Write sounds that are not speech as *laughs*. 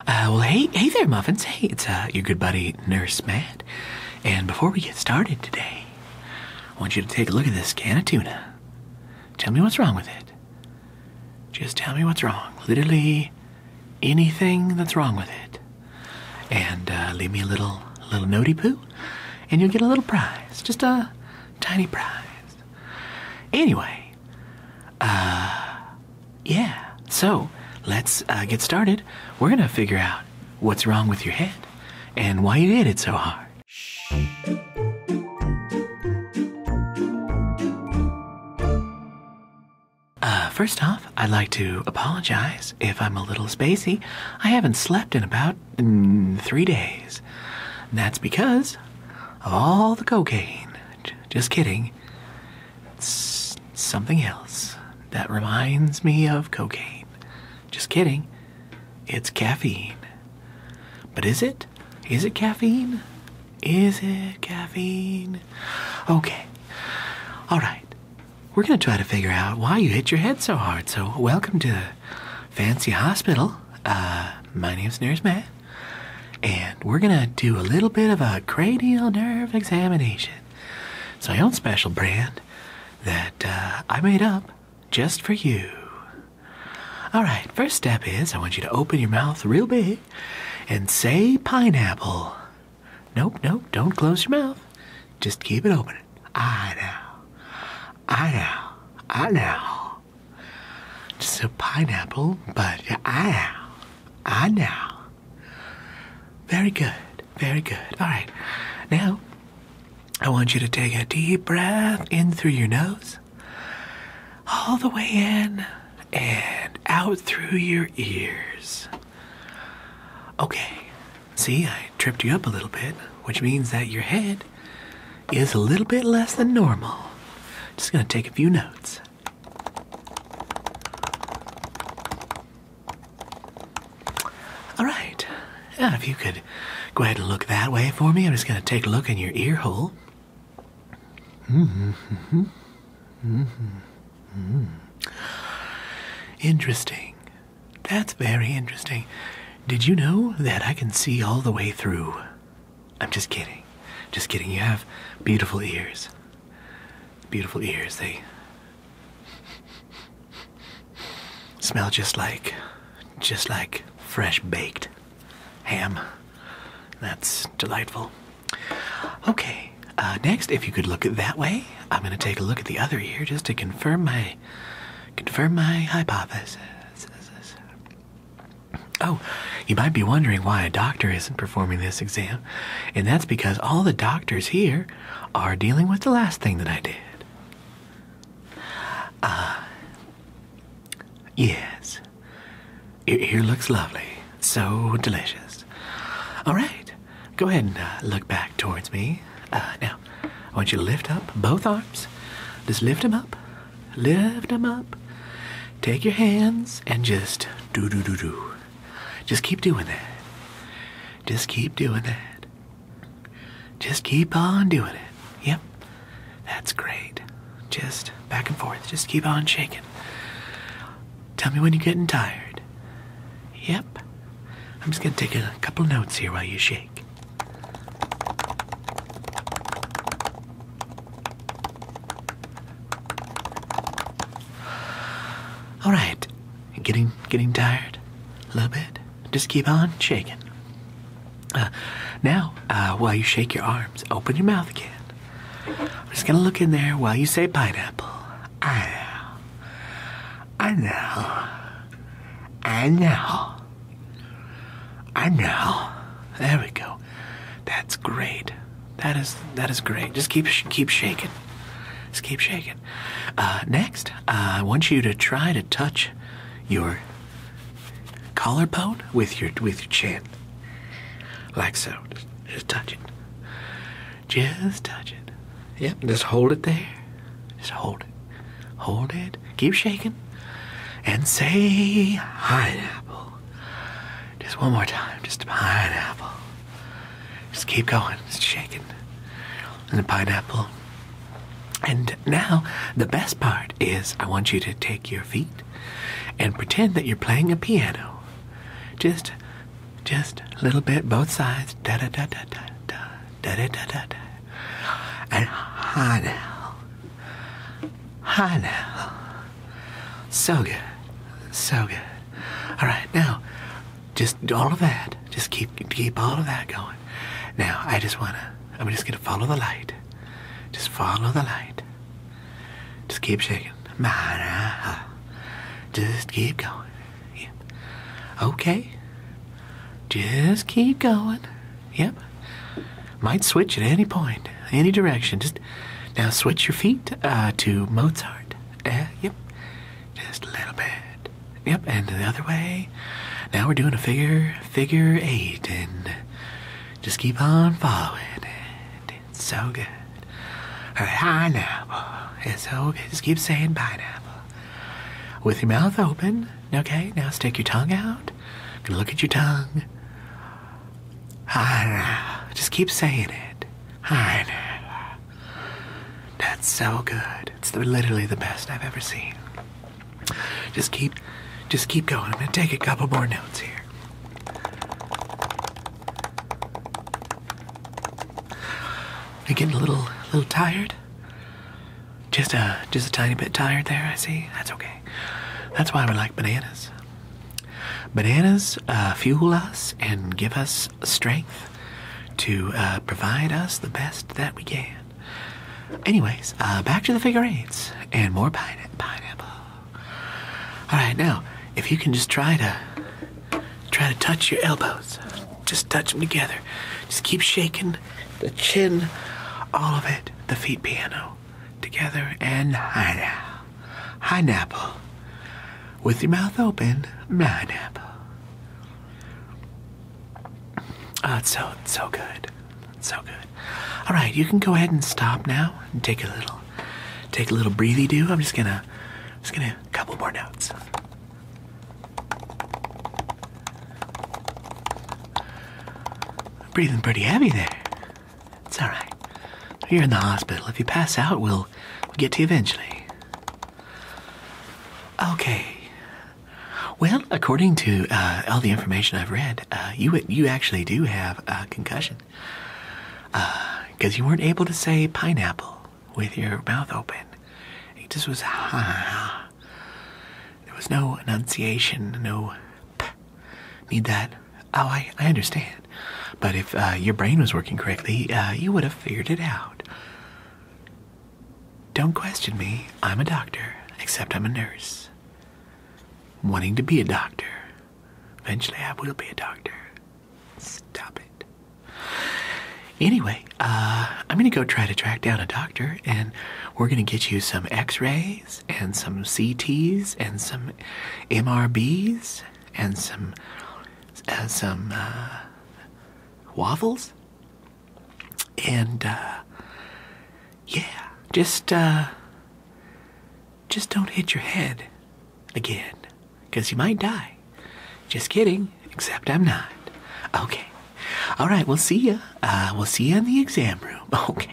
Uh, well, hey, hey there, Muffins. Hey, it's uh, your good buddy, Nurse Matt. And before we get started today, I want you to take a look at this can of tuna. Tell me what's wrong with it. Just tell me what's wrong. Literally anything that's wrong with it. And uh, leave me a little, little notey poo, and you'll get a little prize. Just a tiny prize. Anyway, uh, yeah. So let's uh, get started. We're gonna figure out what's wrong with your head and why you did it so hard. Uh, first off, I'd like to apologize if I'm a little spacey. I haven't slept in about mm, three days. that's because of all the cocaine. just kidding. It's something else that reminds me of cocaine. Just kidding. It's caffeine. But is it? Is it caffeine? Is it caffeine? Okay. All right. We're going to try to figure out why you hit your head so hard. So, welcome to Fancy Hospital. Uh, my name's Nurse Matt and we're gonna do a little bit of a cranial nerve examination. It's my own special brand that uh, I made up just for you. Alright, first step is I want you to open your mouth real big and say pineapple. Nope, nope, don't close your mouth. Just keep it open. I know. I know. I know. Just a pineapple, but I know. I ah, now. Very good. Very good. All right. Now, I want you to take a deep breath in through your nose, all the way in, and out through your ears. Okay. See, I tripped you up a little bit, which means that your head is a little bit less than normal. Just gonna take a few notes. All right. if you could go ahead and look that way for me, I'm just going to take a look in your ear hole. Mm-hmm. Mm-hmm. hmm Interesting. That's very interesting. Did you know that I can see all the way through I'm just kidding. Just kidding. You have beautiful ears. Beautiful ears. They smell just like just like fresh baked ham. That's delightful. Okay. Uh, next, if you could look it that way, I'm going to take a look at the other ear just to confirm my confirm my hypothesis. Oh, you might be wondering why a doctor isn't performing this exam, and that's because all the doctors here are dealing with the last thing that I did. Uh, yes. It here looks lovely. So delicious. All right, go ahead and uh, look back towards me. Uh, now, I want you to lift up both arms. Just lift them up lift them up, take your hands, and just do, do, do, do. Just keep doing that. Just keep doing that. Just keep on doing it. Yep. That's great. Just back and forth. Just keep on shaking. Tell me when you're getting tired. Yep. I'm just going to take a couple notes here while you shake. All right, getting getting tired a little bit. Just keep on shaking. Uh, now, uh, while you shake your arms, open your mouth again. I'm just gonna look in there while you say pineapple. I know. I know. I know. I know. There we go. That's great. That is that is great. Just keep keep shaking. Just keep shaking. Uh, next, uh, I want you to try to touch your collarbone with your with your chin, like so. Just touch it. Just touch it. Yep. Just hold it there. Just hold it. Hold it. Keep shaking. And say hi, apple pineapple. Just one more time. Just pineapple. Just keep going. Just shaking. And the pineapple. And now, the best part is I want you to take your feet and pretend that you're playing a piano. Just, just a little bit, both sides. Da da da da da da da da da da. da. And hi now. Hi now. So good. So good. All right, now, just all of that. Just keep keep all of that going. Now, I just wanna. I'm just gonna follow the light. Just follow the light. Just keep shaking. Just keep going. Yeah. Okay. Just keep going. Yep. Might switch at any point, any direction. Just now switch your feet uh, to Mozart. Eh, yep. Just a little bit. Yep, and the other way. Now we're doing a figure figure eight and just keep on following It's so good. All right, pineapple. It's so good. Just keep saying pineapple. With your mouth open, okay? Now stick your tongue out. Look at your tongue. Just keep saying it. That's so good. It's literally the best I've ever seen. Just keep, just keep going. I'm gonna take a couple more notes here. You getting a little, little tired? Just a, just a tiny bit tired there. I see. That's okay. That's why we like bananas. Bananas uh, fuel us and give us strength to uh, provide us the best that we can. Anyways, uh, back to the figure eights and more pineapple. All right, now if you can just try to try to touch your elbows, just touch them together. Just keep shaking the chin, all of it. The feet piano together and hide Pineapple. With your mouth open, pineapple. Oh, ah, it's so, it's so good. It's so good. All right, you can go ahead and stop now and take a little, take a little breathy do. I'm just gonna, just gonna, a couple more notes. Breathing pretty heavy there. It's all right. You're in the hospital. If you pass out, we'll, get to you eventually. Okay. Well, according to uh, all the information I've read, uh, you you actually do have a concussion because uh, you weren't able to say pineapple with your mouth open. It just was ha. There was no enunciation, no need that. Oh, I, I understand. But if uh, your brain was working correctly, uh, you would have figured it out. Don't question me. I'm a doctor, except I'm a nurse. Wanting to be a doctor. Eventually, I will be a doctor. Stop it. Anyway, uh, I'm gonna go try to track down a doctor, and we're gonna get you some x rays and some CTs and some MRBs and some uh, some uh, waffles and uh, yeah, just just don't hit your head again because you might die. Just kidding, except I'm not. Okay. All right, we'll see you. we'll see you in the exam room. *laughs* Okay